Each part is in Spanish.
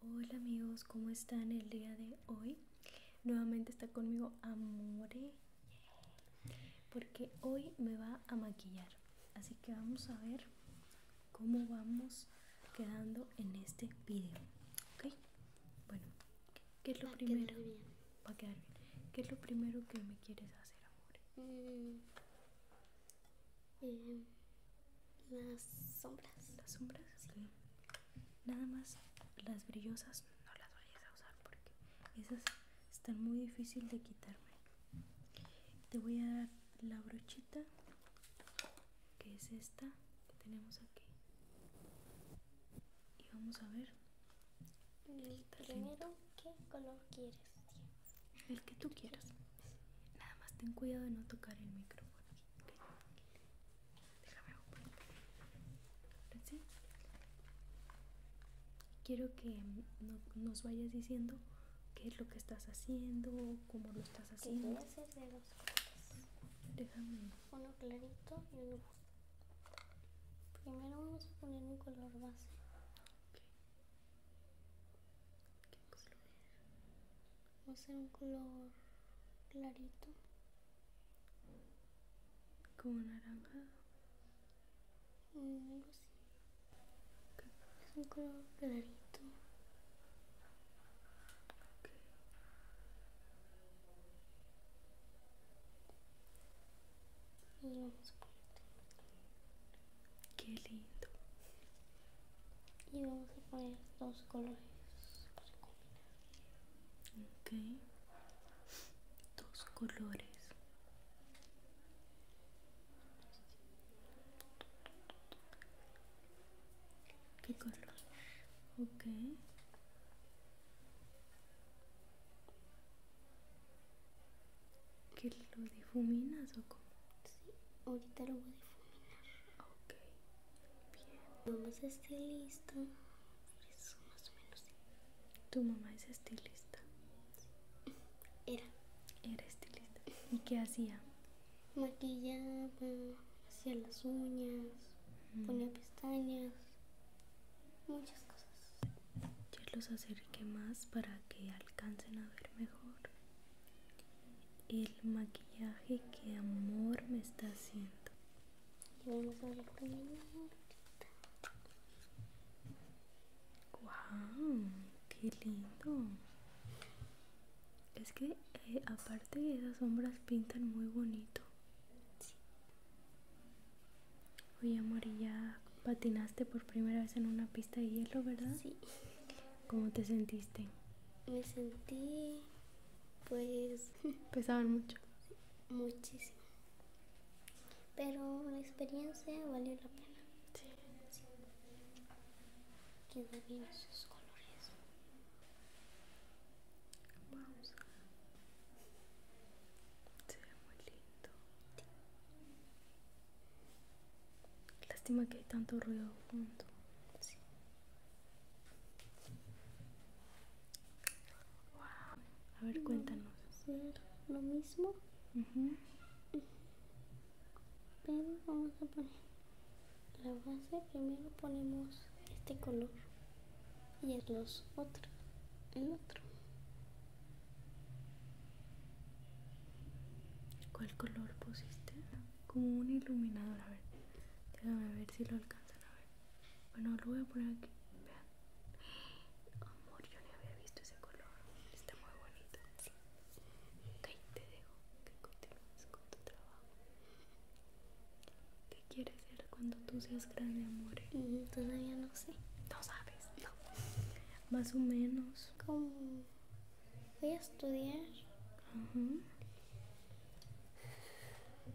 Hola amigos, ¿cómo están el día de hoy? Nuevamente está conmigo Amore porque hoy me va a maquillar. Así que vamos a ver cómo vamos quedando en este video. ¿Ok? Bueno, ¿Qué es lo ah, primero? quedar ¿Qué es lo primero que me quieres hacer, amor? Mm. Eh, las sombras. ¿Las sombras? Sí. Nada más las brillosas no las vayas a usar porque esas están muy difíciles de quitarme. Te voy a dar la brochita que es esta que tenemos aquí y vamos a ver el primero qué color quieres el que tú quieras nada más ten cuidado de no tocar el micrófono quiero que no, nos vayas diciendo qué es lo que estás haciendo cómo lo estás haciendo voy hacer de dos colores déjame uno clarito y uno Primero vamos a poner un color base. Vamos a hacer un color clarito. Como naranja. Mm, es un color clarito vamos Qué lindo. Y vamos a poner dos colores para combinar. Ok. Dos colores. ¿Qué colores? Okay. ¿Que lo difuminas o cómo? Sí, ahorita lo voy a difuminar. Ok, bien. Tu mamá es estilista. Eso más o menos. Sí. Tu mamá es estilista. Era. Era estilista. ¿Y qué hacía? Maquillaba, hacía las uñas, mm. ponía pestañas muchas cosas. Yo los acerqué más para que alcancen a ver mejor el maquillaje que amor me está haciendo. vamos a ver ¡Wow! ¡Qué lindo! Es que eh, aparte esas sombras pintan muy bonito. Sí. Oye, amor, ya patinaste por primera vez en una pista de hielo, ¿verdad? Sí. ¿Cómo te sentiste? Me sentí, pues... ¿Pesaban mucho? Muchísimo. Pero la experiencia valió la pena. Sí. sí. esos colores. Se ve muy lindo. Lástima que hay tanto ruido A ver, cuéntanos. a hacer lo mismo. Pero vamos a poner la base. Primero ponemos este color y el dos, otros, el otro. ¿Cuál color pusiste? Como un iluminador, a ver. Déjame ver si lo alcanzan a ver. Bueno, lo voy a poner aquí. Vean. Amor, yo ni había visto ese color. Está muy bonito. Ahí te dejo que continúes con tu trabajo. ¿Qué quieres ser cuando tú seas grande, amor? todavía no sé. No sabes. No. Más o menos. Como voy a estudiar.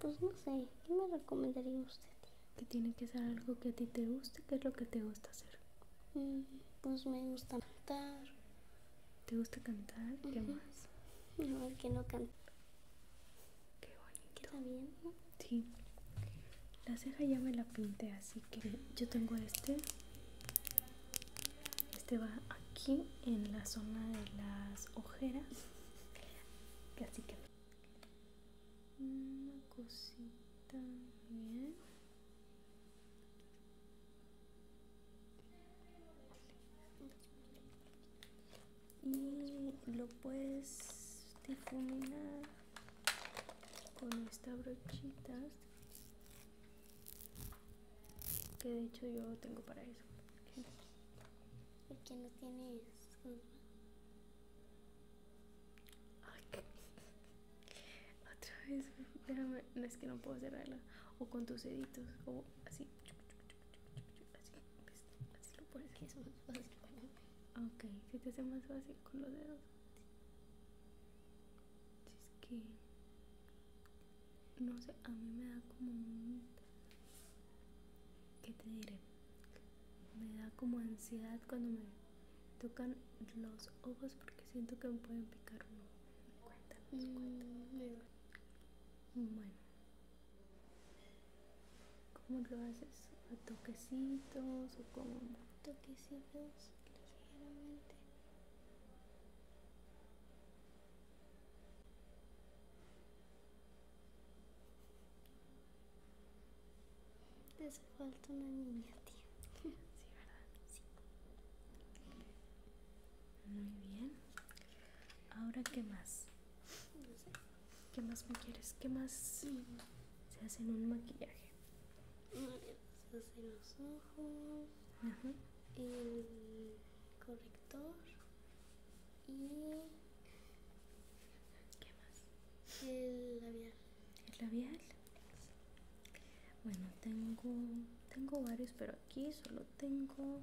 Pues no sé. ¿Qué me recomendaría usted? Que tiene que ser algo que a ti te guste. ¿Qué es lo que te gusta hacer? Mm, pues me gusta cantar. ¿Te gusta cantar? ¿Qué más? No, el que no canto Qué bonito. está bien? Sí. La ceja ya me la pinté, así que yo tengo este. Este va aquí en la zona de las ojeras. Así que una cosita bien y lo puedes difuminar con esta brochita que de hecho yo tengo para eso porque no tiene otra vez déjame no es que no puedo cerrarla o con tus deditos o así así, lo puedes ok, si te hace más fácil con los dedos si es que no sé, a mí me da como ¿Qué te diré? Me da como ansiedad cuando me tocan los ojos porque siento que me pueden picar uno. Mm, bueno, ¿Cómo lo haces? ¿A toquecitos o cómo? Toquecitos ligeramente. Te hace falta una niña, tía. sí, ¿verdad? Sí. Muy bien. Ahora, ¿qué más? No sé. ¿Qué más me quieres? ¿Qué más se hace en un maquillaje? Mm, se hacen los ojos, Ajá. el corrector y... ¿Qué más? El labial. ¿El labial? Bueno, tengo, tengo varios, pero aquí solo tengo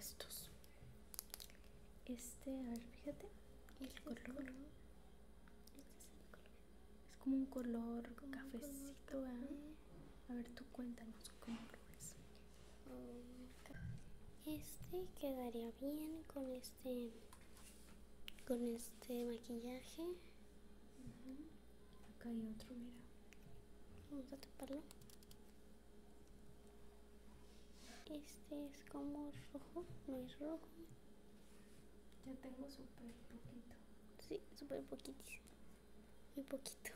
estos este a ver fíjate el color, es Este es el color es como un color cafecito a ver tú cuéntanos cómo lo ves oh, este quedaría bien con este con este maquillaje acá hay otro mira vamos a taparlo este es como rojo, no es rojo. Ya tengo súper poquito. Sí, súper poquitísimo. Muy poquito.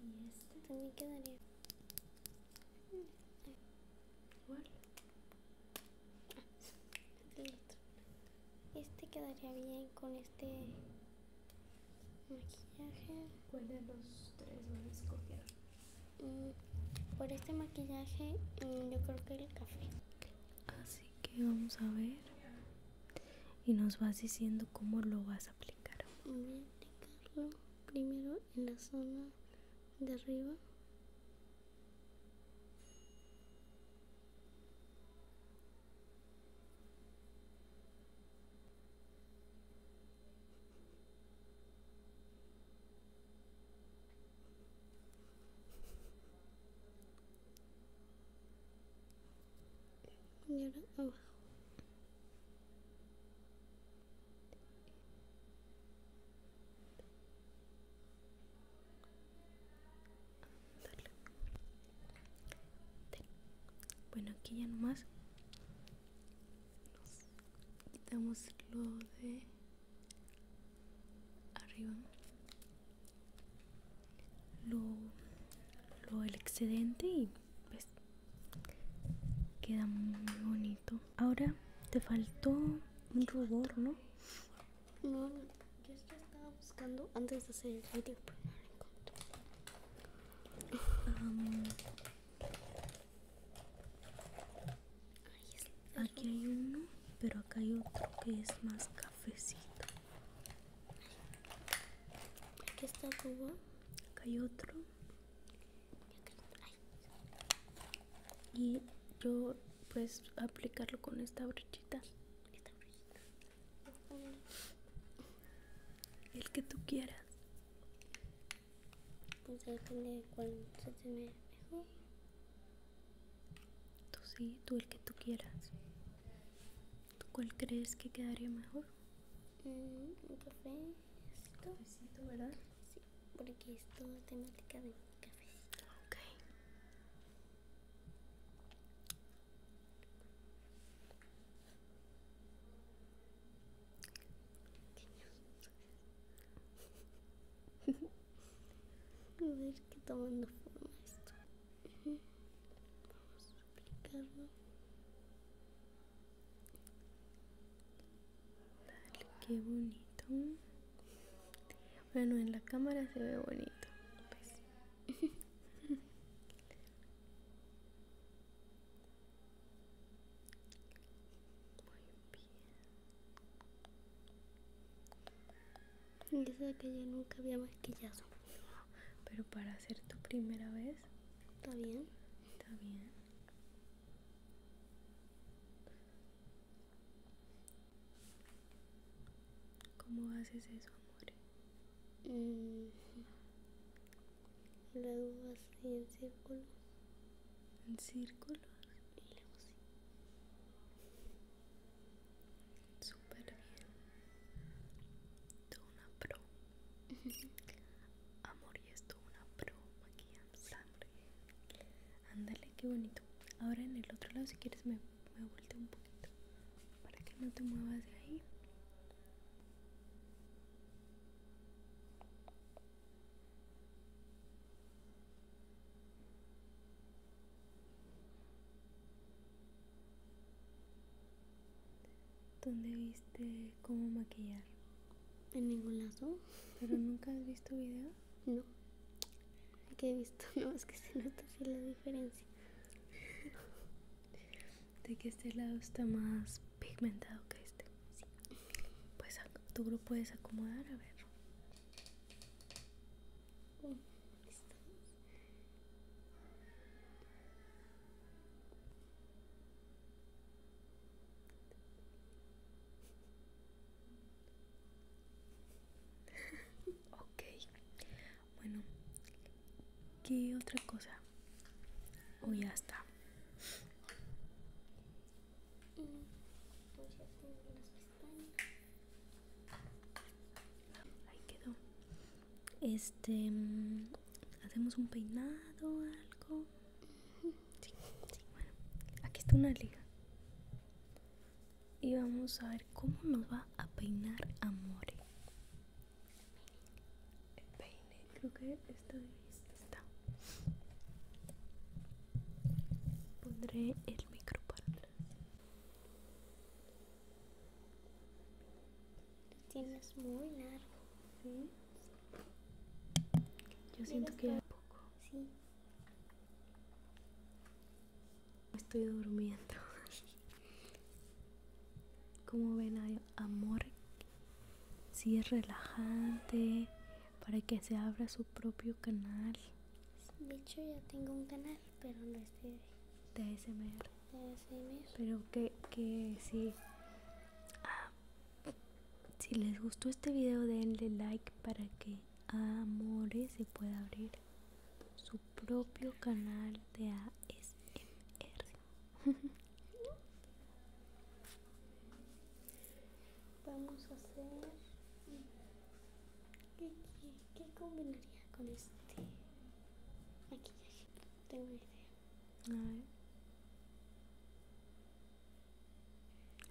Y este también quedaría. Igual. Ah, este quedaría bien con este maquillaje. ¿Cuál de los tres van a escoger? Mm, por este maquillaje mm, yo creo que el café. Así que vamos a ver. Y nos vas diciendo cómo lo vas a aplicar. aplicarlo primero en la zona de arriba. Y ahora abajo. Bueno, aquí ya nomás quitamos lo de arriba lo, del excedente y pues queda muy bonito ahora te faltó un rubor no no yo estaba buscando antes de hacer el video. pero no lo encontré aquí hay uno, pero acá hay otro que es más cafecito. Aquí está Cuba. Acá hay otro. Y yo pues aplicarlo con esta brochita. Esta brochita. El que tú quieras. Pues se mejor. Tú sí, tú el que tú quieras. ¿Tú cuál crees que quedaría mejor? un mm, café. Cafecito, ¿verdad? Sí, porque es todo temática de cafecito. Ok. A ver que tomando forma esto. Vamos a aplicarlo. Dale, qué bonito. Bueno, en la cámara se ve bonito. Pues. Muy bien. Yo sé que yo nunca había maquillado. Pero para hacer tu primera vez. Está bien. Está bien. ¿Cómo haces eso, amor? Y Luego así en círculo. En círculo. Y luego así. Súper bien. Tú una pro. Amor, y esto una pro en sangre. Ándale, qué bonito. Ahora en el otro lado, si quieres, me, me volteo un poquito. Para que no te muevas de ahí. ¿Dónde viste cómo maquillar? En ningún lado ¿Pero nunca has visto video? No. aquí he visto, no, es que se nota así la diferencia de que este lado está más pigmentado que este. Pues tú lo puedes acomodar, a ver. ok, bueno, ¿qué otra cosa? Hoy ya está. Ahí quedó. Este, mm, hacemos un peinado algo. Sí, sí, bueno. Aquí está una liga. Y vamos a ver cómo nos va a peinar Amore peine creo que estoy lista pondré el micro para tienes muy largo yo siento que poco sí estoy durmiendo Como ven, amor si es relajante para que se abra su propio canal. De hecho, tengo un canal, pero no estoy de, ASMR. Pero que, que ah, si les gustó este video, denle like para que Amore se pueda abrir su propio canal de ASMR. Vamos a hacer... ¿Qué, combinaría con este aquí maquillaje? Tengo una idea.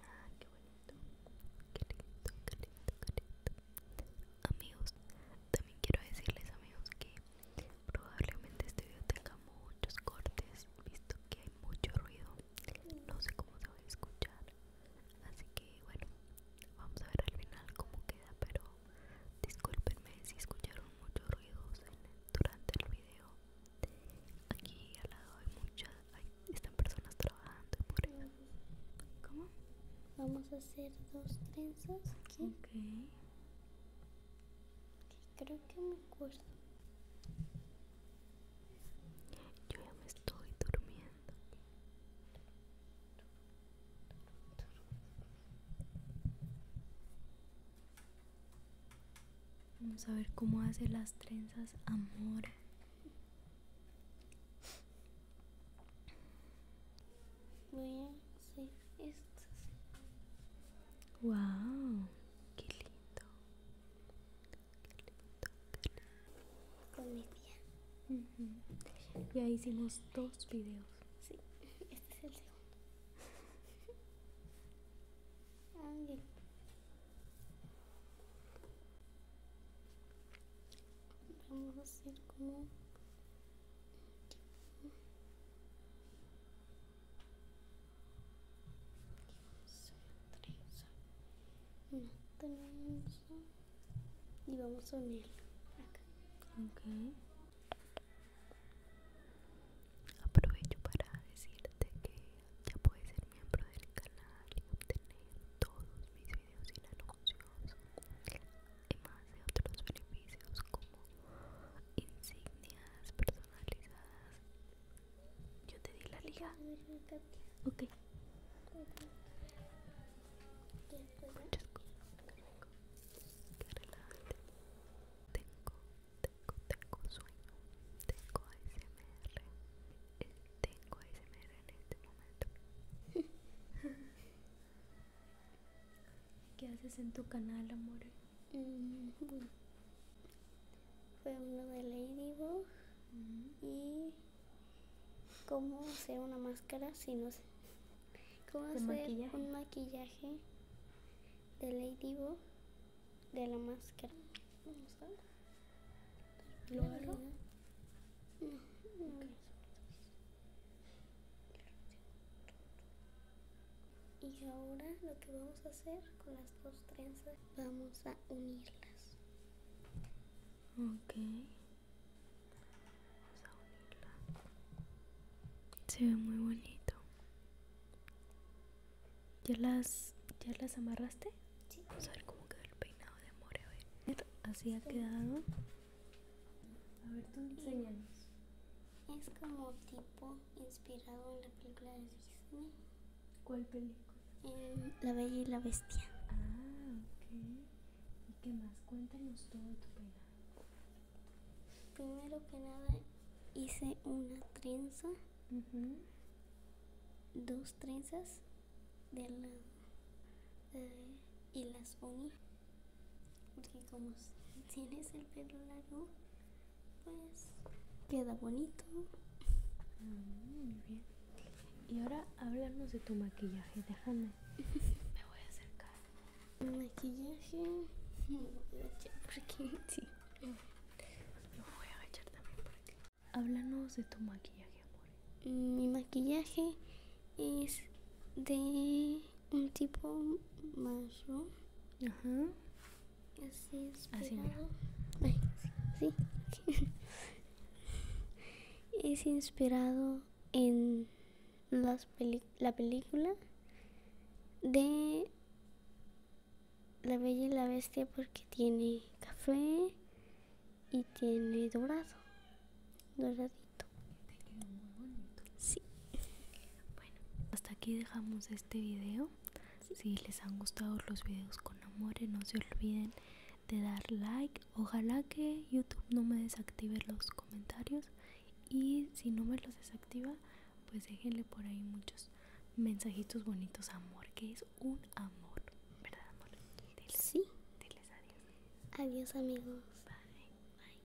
A Ah, qué bonito. Qué lindo, qué lindo, qué lindo. Amigos, también quiero decirles amigos que Probablemente este video tenga muchos cortes, visto que hay mucho ruido. No sé cómo se va a escuchar. Así que bueno, vamos a ver al final cómo queda, pero discúlpenme si escucharon mucho ruidos durante el video. Aquí al lado hay muchas, están personas trabajando ¿Cómo? Vamos a hacer dos trenzas aquí creo que me acuerdo. Yo ya me estoy durmiendo. Vamos a ver cómo hace las trenzas Amor voy a hacer esto Wow, qué lindo. Qué lindo, Con mi Ya hicimos dos videos. Sí, este es el segundo. Ah, Vamos a hacer como y vamos a unirlo Okay. Aprovecho para decirte que ya puedes ser miembro del canal y obtener todos mis videos y la anuncios más de otros beneficios como insignias personalizadas. Yo te di la liga. Ok. Tengo, tengo, tengo sueño. Tengo ASMR. tengo ASMR en este momento. ¿Qué haces en tu canal, amor? Mm, fue uno de Ladybug y cómo hacer una máscara si no sé. Cómo hacer un maquillaje de Ladybug de la máscara. ¿Lo y ahora lo que vamos a hacer con las dos trenzas, vamos a unirlas. Ok. Vamos a unirlas. Se ve muy bonito. ¿Ya las, ya las amarraste? Sí. Vamos a ver cómo quedó el peinado de More. Así ha quedado. A ver, tú enséñanos. Es como tipo inspirado en la película de Disney. ¿Cuál película? la Bella y la Bestia. Ah, ok. ¿Y qué más? Cuéntanos todo tu peinado. Primero que nada, hice una trenza. Dos trenzas de la, y las uní. Porque como tienes el pelo largo, pues queda bonito. Mm, muy bien. Y ahora háblanos de tu maquillaje, déjame. Me voy a acercar. Maquillaje. Me voy a echar por sí. lo voy a echar también por aquí. Háblanos de tu maquillaje, amor. Mi maquillaje es de un tipo más Ajá. es inspirado. sí, es inspirado en las la película de La Bella y la Bestia porque tiene café y tiene dorado. Doradito. Te bonito. Sí. Bueno, hasta aquí dejamos este video. Si les han gustado los videos con amores, no se olviden de dar like. Ojalá que YouTube no me desactive los comentarios. Y si no me los desactiva, pues déjenle por ahí muchos mensajitos bonitos, amor, que es un amor, ¿verdad, amor? sí. Diles adiós. Adiós, amigos. Bye. Bye.